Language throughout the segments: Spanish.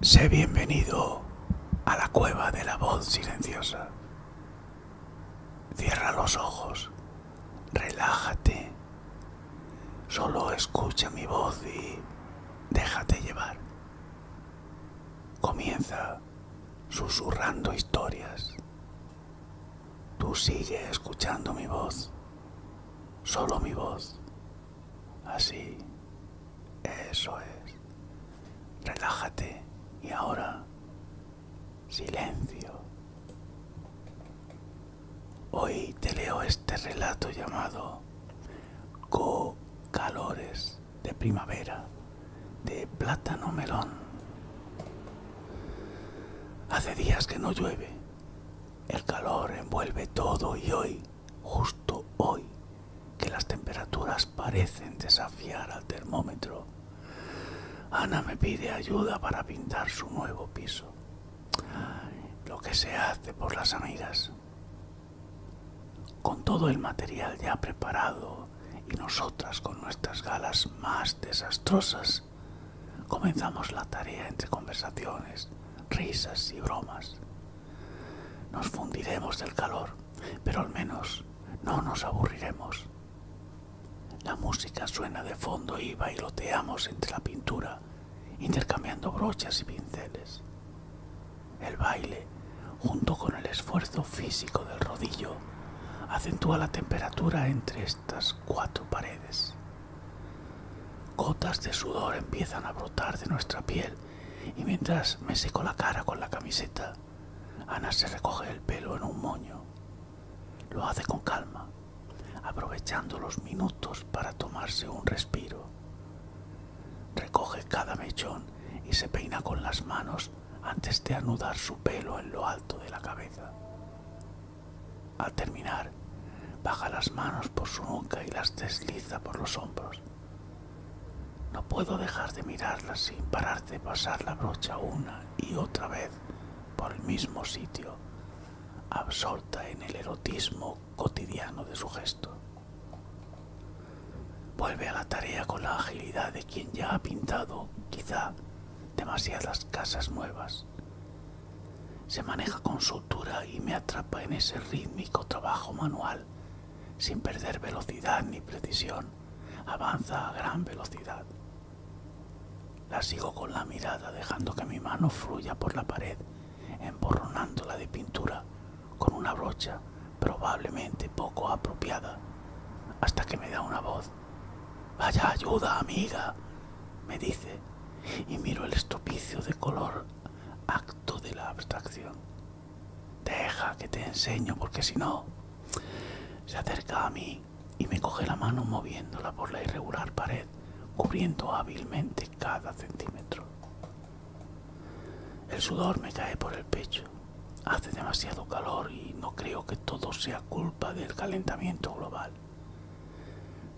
Sé bienvenido a la cueva de la voz silenciosa. Cierra los ojos, relájate, solo escucha mi voz y déjate llevar. Comienza susurrando historias. Tú sigue escuchando mi voz. Solo mi voz. Así. Eso es. Relájate. Y ahora. Silencio. Hoy te leo este relato llamado Co-Calores de Primavera de Plátano Melón. Hace días que no llueve el calor envuelve todo y hoy, justo hoy, que las temperaturas parecen desafiar al termómetro, Ana me pide ayuda para pintar su nuevo piso. Lo que se hace por las amigas. Con todo el material ya preparado y nosotras con nuestras galas más desastrosas, Comenzamos la tarea entre conversaciones, risas y bromas. Nos fundiremos del calor, pero al menos no nos aburriremos. La música suena de fondo y bailoteamos entre la pintura, intercambiando brochas y pinceles. El baile, junto con el esfuerzo físico del rodillo, acentúa la temperatura entre estas cuatro paredes. Gotas de sudor empiezan a brotar de nuestra piel y mientras me seco la cara con la camiseta, Ana se recoge el pelo en un moño. Lo hace con calma, aprovechando los minutos para tomarse un respiro. Recoge cada mechón y se peina con las manos antes de anudar su pelo en lo alto de la cabeza. Al terminar, baja las manos por su nuca y las desliza por los hombros. No puedo dejar de mirarla sin parar de pasar la brocha una y otra vez por el mismo sitio, absorta en el erotismo cotidiano de su gesto. Vuelve a la tarea con la agilidad de quien ya ha pintado, quizá, demasiadas casas nuevas. Se maneja con sutura y me atrapa en ese rítmico trabajo manual, sin perder velocidad ni precisión. Avanza a gran velocidad. La sigo con la mirada, dejando que mi mano fluya por la pared, emborronándola de pintura con una brocha probablemente poco apropiada, hasta que me da una voz. Vaya ayuda, amiga, me dice, y miro el estropicio de color acto de la abstracción. Deja que te enseño, porque si no... Se acerca a mí y me coge la mano moviéndola por la irregular pared, cubriendo hábilmente cada centímetro. El sudor me cae por el pecho. Hace demasiado calor y no creo que todo sea culpa del calentamiento global.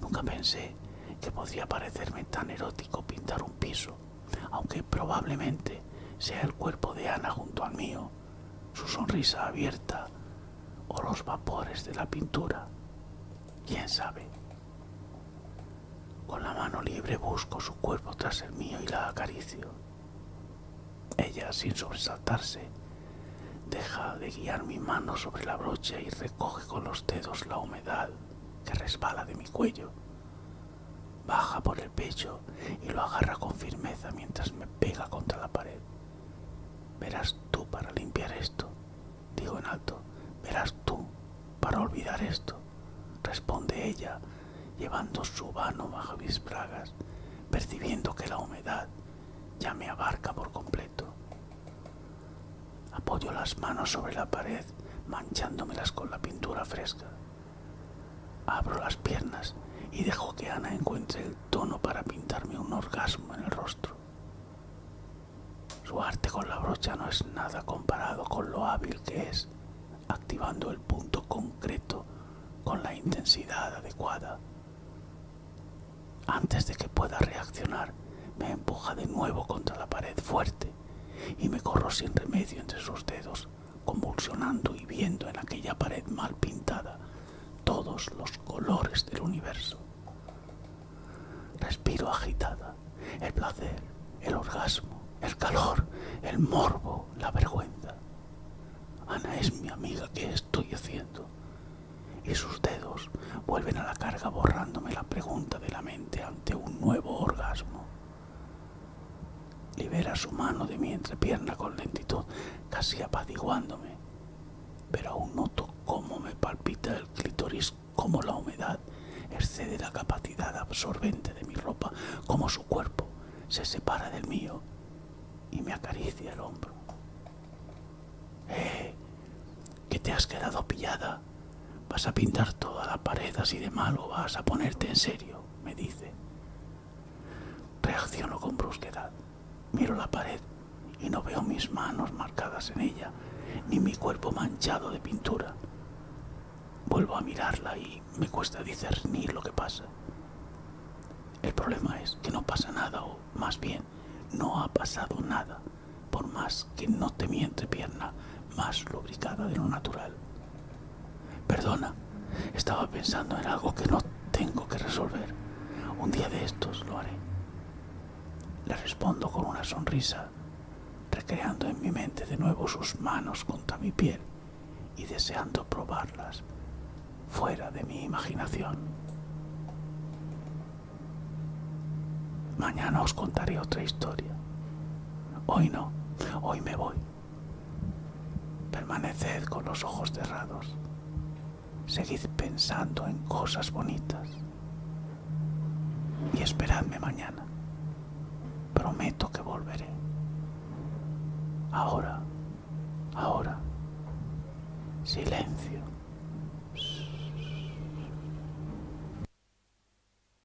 Nunca pensé que podría parecerme tan erótico pintar un piso, aunque probablemente sea el cuerpo de Ana junto al mío, su sonrisa abierta o los vapores de la pintura. ¿Quién sabe? Con la mano libre busco su cuerpo tras el mío y la acaricio. Ella, sin sobresaltarse, deja de guiar mi mano sobre la brocha y recoge con los dedos la humedad que resbala de mi cuello. Baja por el pecho y lo agarra con firmeza mientras me pega contra la pared. Verás tú para limpiar esto, Digo en alto, verás tú para olvidar esto, responde ella, llevando su mano bajo mis bragas, percibiendo que la humedad ya me abarca por completo. Apoyo las manos sobre la pared, manchándomelas con la pintura fresca. Abro las piernas y dejo que Ana encuentre el tono para pintarme un orgasmo en el rostro. Su arte con la brocha no es nada comparado con lo hábil que es, activando el punto concreto con la intensidad adecuada. Antes de que pueda reaccionar, me empuja de nuevo contra la pared fuerte y me corro sin remedio entre sus dedos, convulsionando y viendo en aquella pared mal pintada todos los colores del universo. Respiro agitada, el placer, el orgasmo, el calor, el morbo, la vergüenza. Ana es mi amiga, ¿qué estoy haciendo? Y sus dedos vuelven a la carga borrándome la pregunta de la mente ante un nuevo orgasmo. Libera su mano de mi entrepierna con lentitud, casi apaciguándome pero aún noto cómo me palpita el clítoris, cómo la humedad excede la capacidad absorbente de mi ropa, cómo su cuerpo se separa del mío y me acaricia el hombro. ¡Eh! ¿Que te has quedado pillada? ¿Vas a pintar toda la pared así de malo? ¿Vas a ponerte en serio? me dice. Reacciono con brusquedad. Miro la pared y no veo mis manos marcadas en ella, ni mi cuerpo manchado de pintura. Vuelvo a mirarla y me cuesta discernir lo que pasa. El problema es que no pasa nada, o más bien, no ha pasado nada, por más que no te miente pierna más lubricada de lo natural. Perdona, estaba pensando en algo que no tengo que resolver. Un día de estos lo haré. Le respondo con una sonrisa, recreando en mi mente de nuevo sus manos contra mi piel y deseando probarlas fuera de mi imaginación. Mañana os contaré otra historia. Hoy no, hoy me voy. Permaneced con los ojos cerrados. Seguid pensando en cosas bonitas. Y esperadme mañana. Prometo que volveré. Ahora, ahora. Silencio.